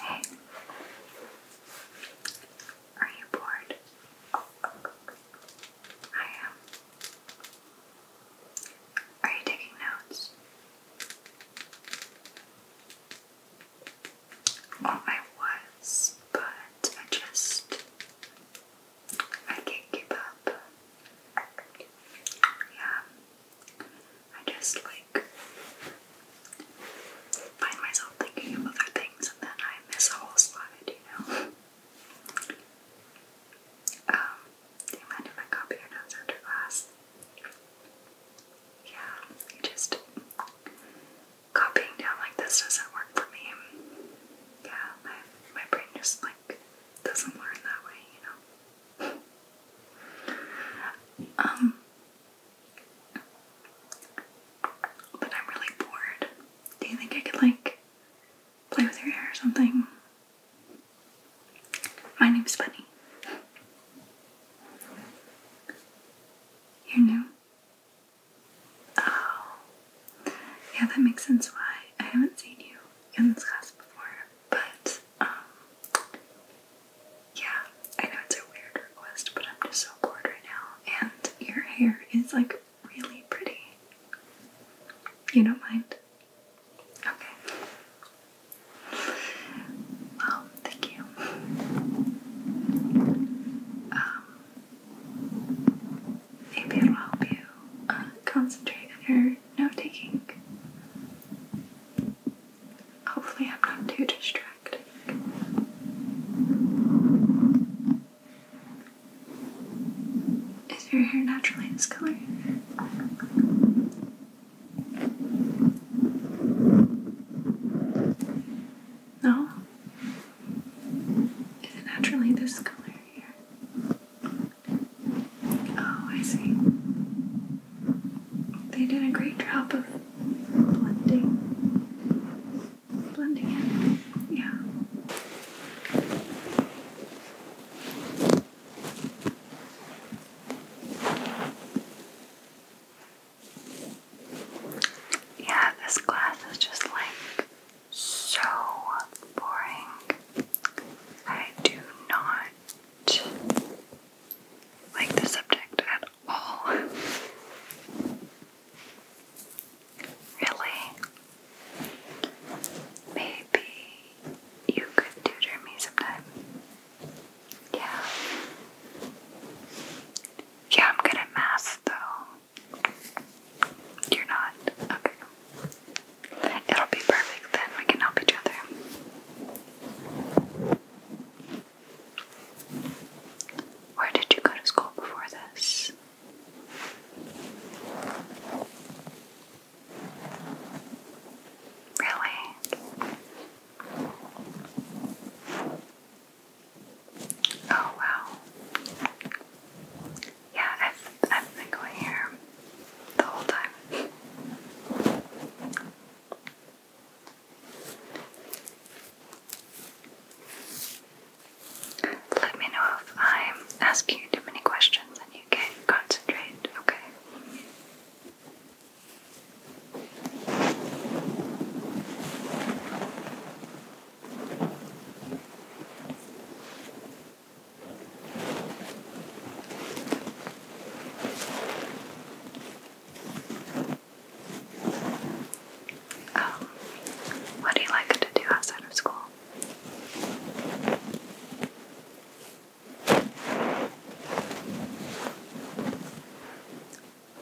Hey. Are you bored? Oh, I am. Are you taking notes? I was, but I just. I can't keep up. Yeah. I just like find myself thinking of other things and then I miss a whole slide, you know? Um, do you mind if I copy your notes after class? Yeah, just copying down like this doesn't work for me. Yeah, my my brain just like doesn't learn that way, you know. Um but I'm really bored. Do you think I could, like, play with your hair or something? My name's Bunny. You're new? Oh. Yeah, that makes sense why I haven't seen you in this class before. But, um, yeah, I know it's a weird request, but I'm just so bored right now. And your hair is like really pretty. You don't mind? Okay. Well, um, thank you. Um, maybe it'll help you uh, concentrate on your note taking. Hopefully, I'm not too distracting. Is your hair naturally this color? No? Is it naturally this color here? Oh, I see. They did a great job of blending, blending in. Yeah. Yeah, this glass is just like so boring. I do not like the subject at that Really? Maybe you could tutor me sometime. Yeah. Yeah, I'm good at math though. You're not? Okay. It'll be perfect then. We can help each other. Where did you go to school before this? Really? Oh wow. Yeah, I've, I've been going here the whole time. Let me know if I'm asking you too many questions and you can concentrate, okay? Oh, what do you like to do outside of school?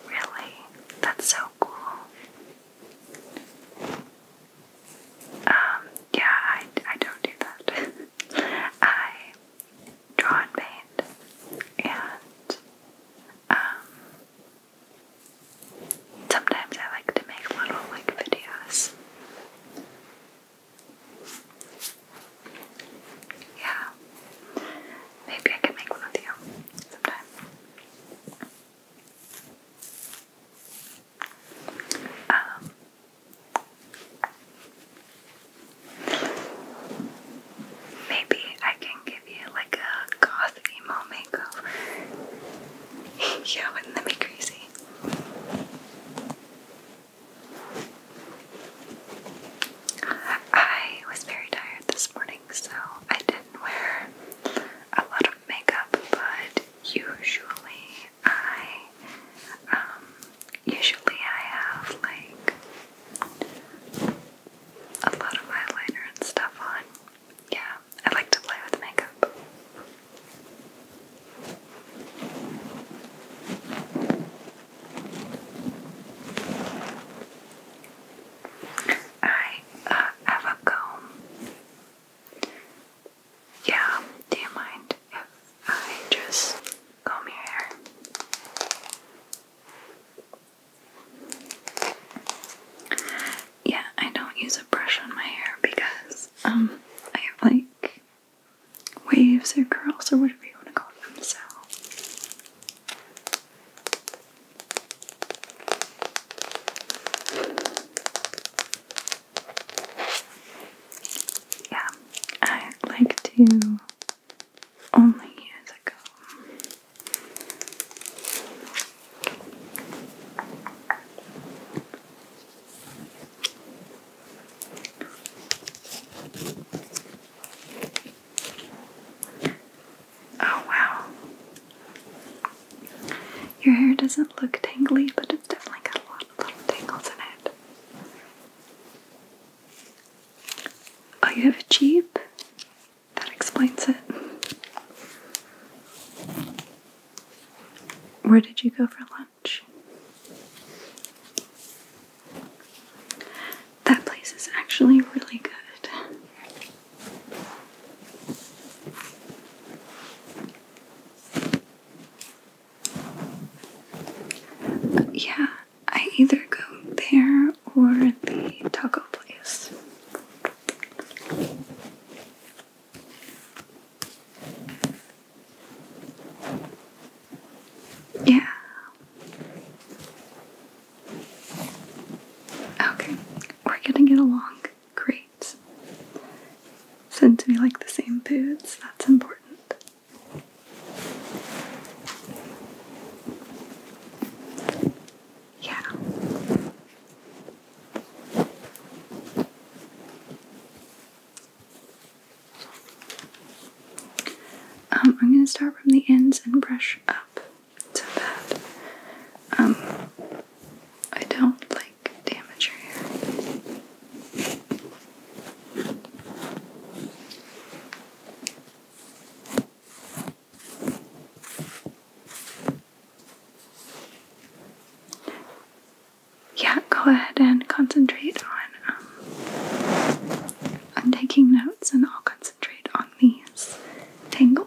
Really? That's so cool. Um, yeah, I, I don't do that. I draw and paint, and um, sometimes I like to make little like videos. Yeah, maybe I can make one with you sometime. Um, Maybe I can give you like a goth emo makeover. yeah, wouldn't that be crazy? I was very tired this morning, so I didn't wear a lot of makeup, but usually I um, usually I have like a lot of eyeliner and stuff on. Yeah, I like to play with makeup. I uh, have a comb. Yeah, do you mind if I just comb your hair. Yeah, I don't use a brush on my hair because um I have like waves or curls or whatever you want to call them, so yeah, I like to only years ago. Oh wow. Your hair doesn't look tangly, but it's definitely got a lot of little tangles in it. Oh, you have a Jeep? That explains it. Where did you go for lunch? That place is actually really good. yeah, I either go there or the taco place. Yeah. Okay, we're gonna get along. Great. Since we like the same foods, that's important. Yeah. Um, I'm going to start from the ends and brush up so that um, I don't like damage your hair. Yeah, go ahead and concentrate on on um, taking notes, and I'll concentrate on these tangles.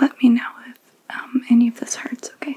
Let me know if um, any of this hurts, okay?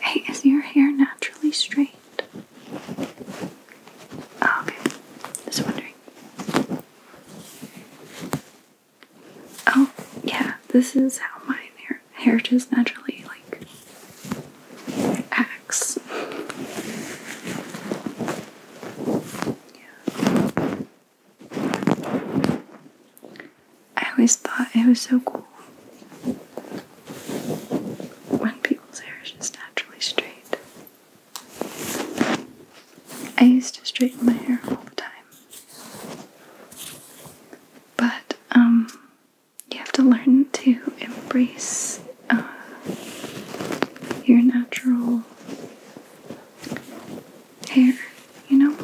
Hey, is your hair naturally straight? Oh, okay. Just wondering. Oh, yeah, this is how my hair, hair just naturally, like, acts. Yeah. I always thought it was so cool when people's hair is just naturally straight. I used to straighten my hair all the time. But, um, you have to learn to embrace uh, your natural hair, you know?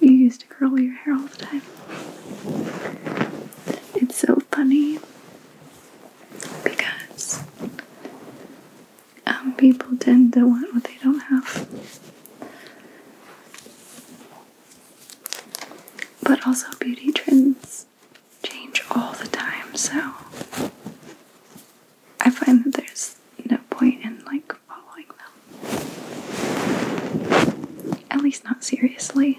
You used to curl your hair all the time. It's so funny because um, people tend to want what they don't have. But also, beauty trends change all the time, so I find that there's no point in like following them. At least not seriously.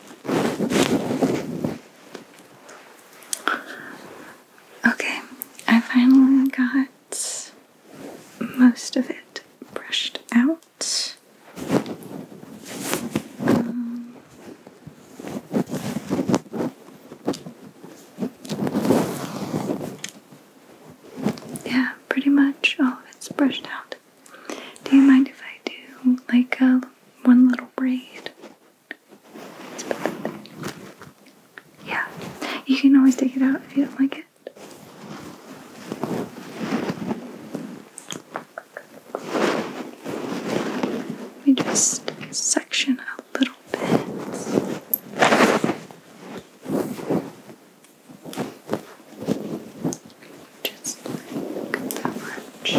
Okay, I finally got most of it brushed out. Um, yeah, pretty much Oh, it's brushed out. Do you mind if I do like a one little braid. Yeah, you can always take it out if you don't like it. Let me just section a little bit just that much.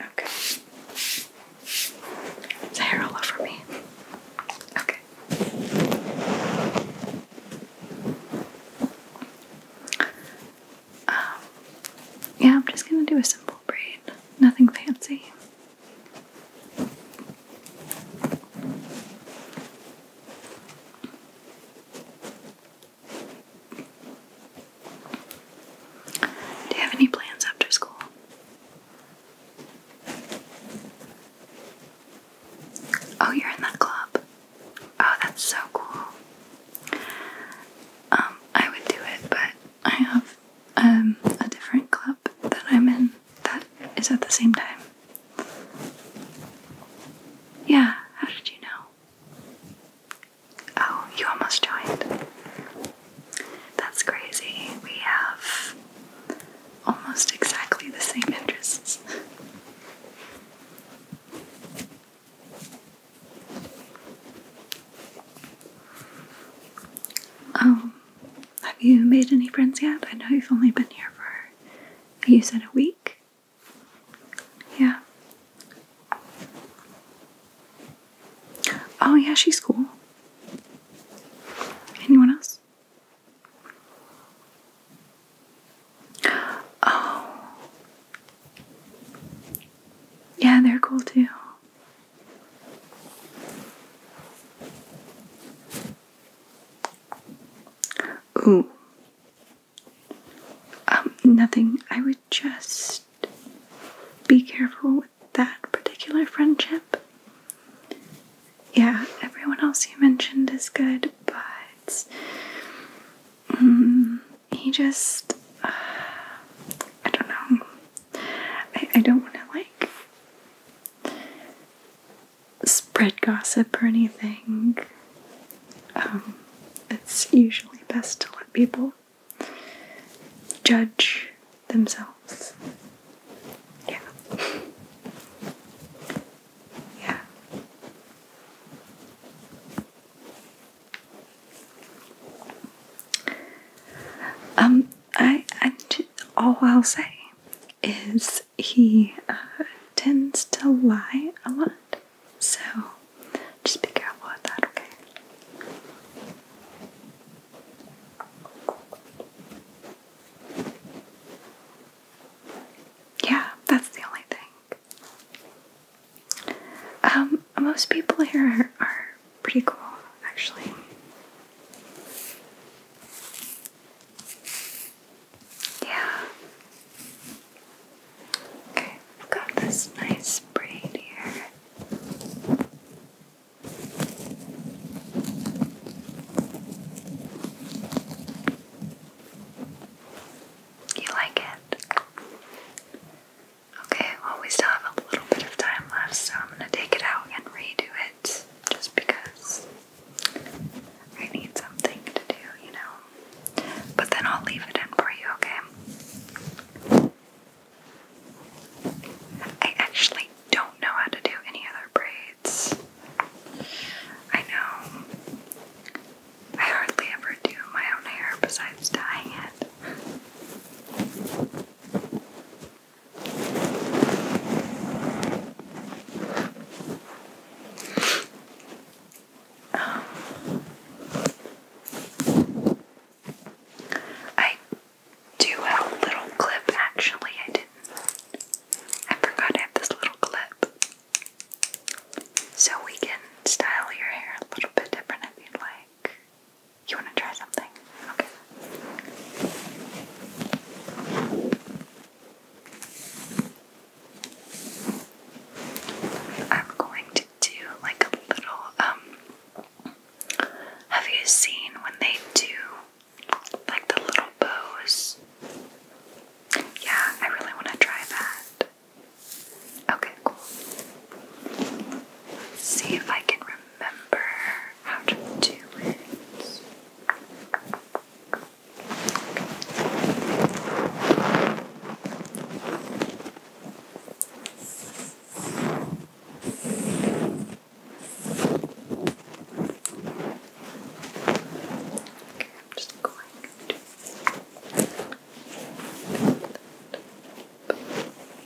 Okay. Is hair all over me? Okay. Um, yeah, I'm just gonna do a simple braid. Nothing fancy. Do you have any plans after school? Oh, you're in that club. Oh, that's so cool. Um, I would do it, but I have um a different club that I'm in that is at the same time. Yeah, how did you know? Oh, you almost joined. That's crazy. We have almost exactly the same interests. Oh, have you made any friends yet? I know you've only been here for, you said a week? Yeah. Oh, yeah, she's cool. Anyone else? Oh. Yeah, they're cool too. Ooh. Um, nothing. I would just be careful with that particular friendship. Yeah, everyone else you mentioned is good, but um, he just. Uh, I don't know. I, I don't want to, like spread gossip or anything. Um, it's usually best to let people judge themselves. Yeah. Yeah. Um, I, I, all I'll say is he uh, tends to lie a lot. So just be careful with that, okay? Yeah, that's the only thing. Um, most people here are pretty cool, actually. Yeah. Okay, I've got this nice braid here. You like it? Okay, well, we still have a little bit of time left, so I'm going to take it out and redo it just because I need something to do, you know. But then I'll leave it in for you, okay? I actually don't know how to do any other braids. I know. I hardly ever do my own hair besides dyeing it. I do have a little clip actually. I did I forgot I have this little clip. So we can style your hair a little bit different if you'd like. You want to try something? I'm going to do like a little um, have you seen when they do like the little bows? Yeah, I really want to try that. Okay, cool. see if I can remember how to do it. I'm just going to. do it.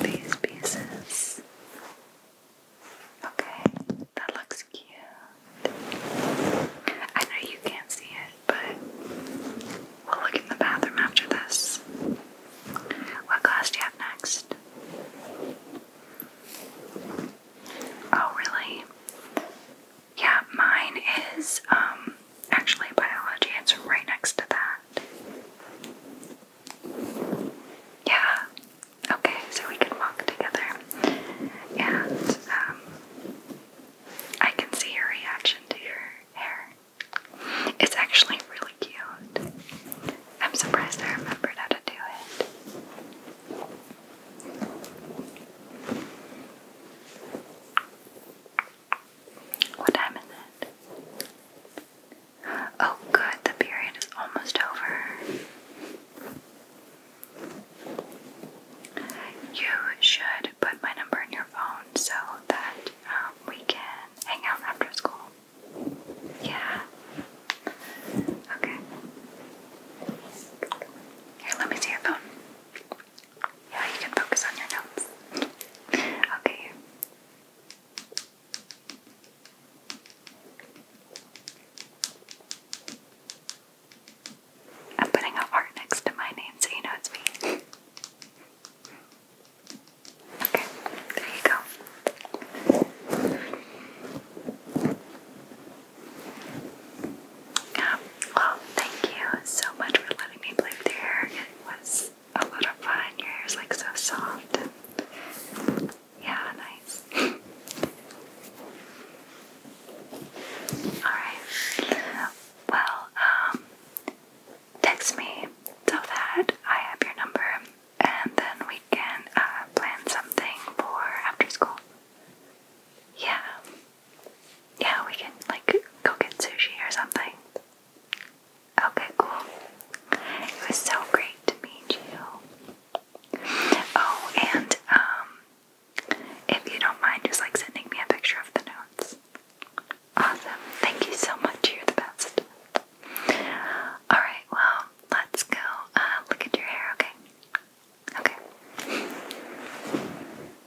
these pieces. Okay, that looks cute. I know you can't see it, but we'll look in the bathroom after this. What class do you have next? Oh, really? Yeah, mine is um Actually, biology, it's right next to that. Yeah. Okay, so we can walk together. And, um, I can see your reaction to your hair. It's actually really cute. I'm surprised I remembered how to do it. What time is it? Oh, good, the period is almost over. You should put my number in your phone so that um, we can hang out after school. Yeah. Okay. Here, let me see your phone. Yeah, you can focus on your notes. okay. I'm putting a heart next to my name so you know it's me. Okay, there you go. Um, well, thank you so much for letting me play with your hair. It was a lot of fun. Your hair is like so soft. And yeah, nice. Alright. Well, um, text me so that I have your number and then we can uh, plan something for after school. Yeah. Yeah, we can like go get sushi or something. Okay, cool. It was so great to meet you. Oh, and um, if you don't mind, just like sending me a picture of the notes. Awesome. Thank you so much. You're the best. Alright, well, let's go uh, look at your hair, okay? Okay.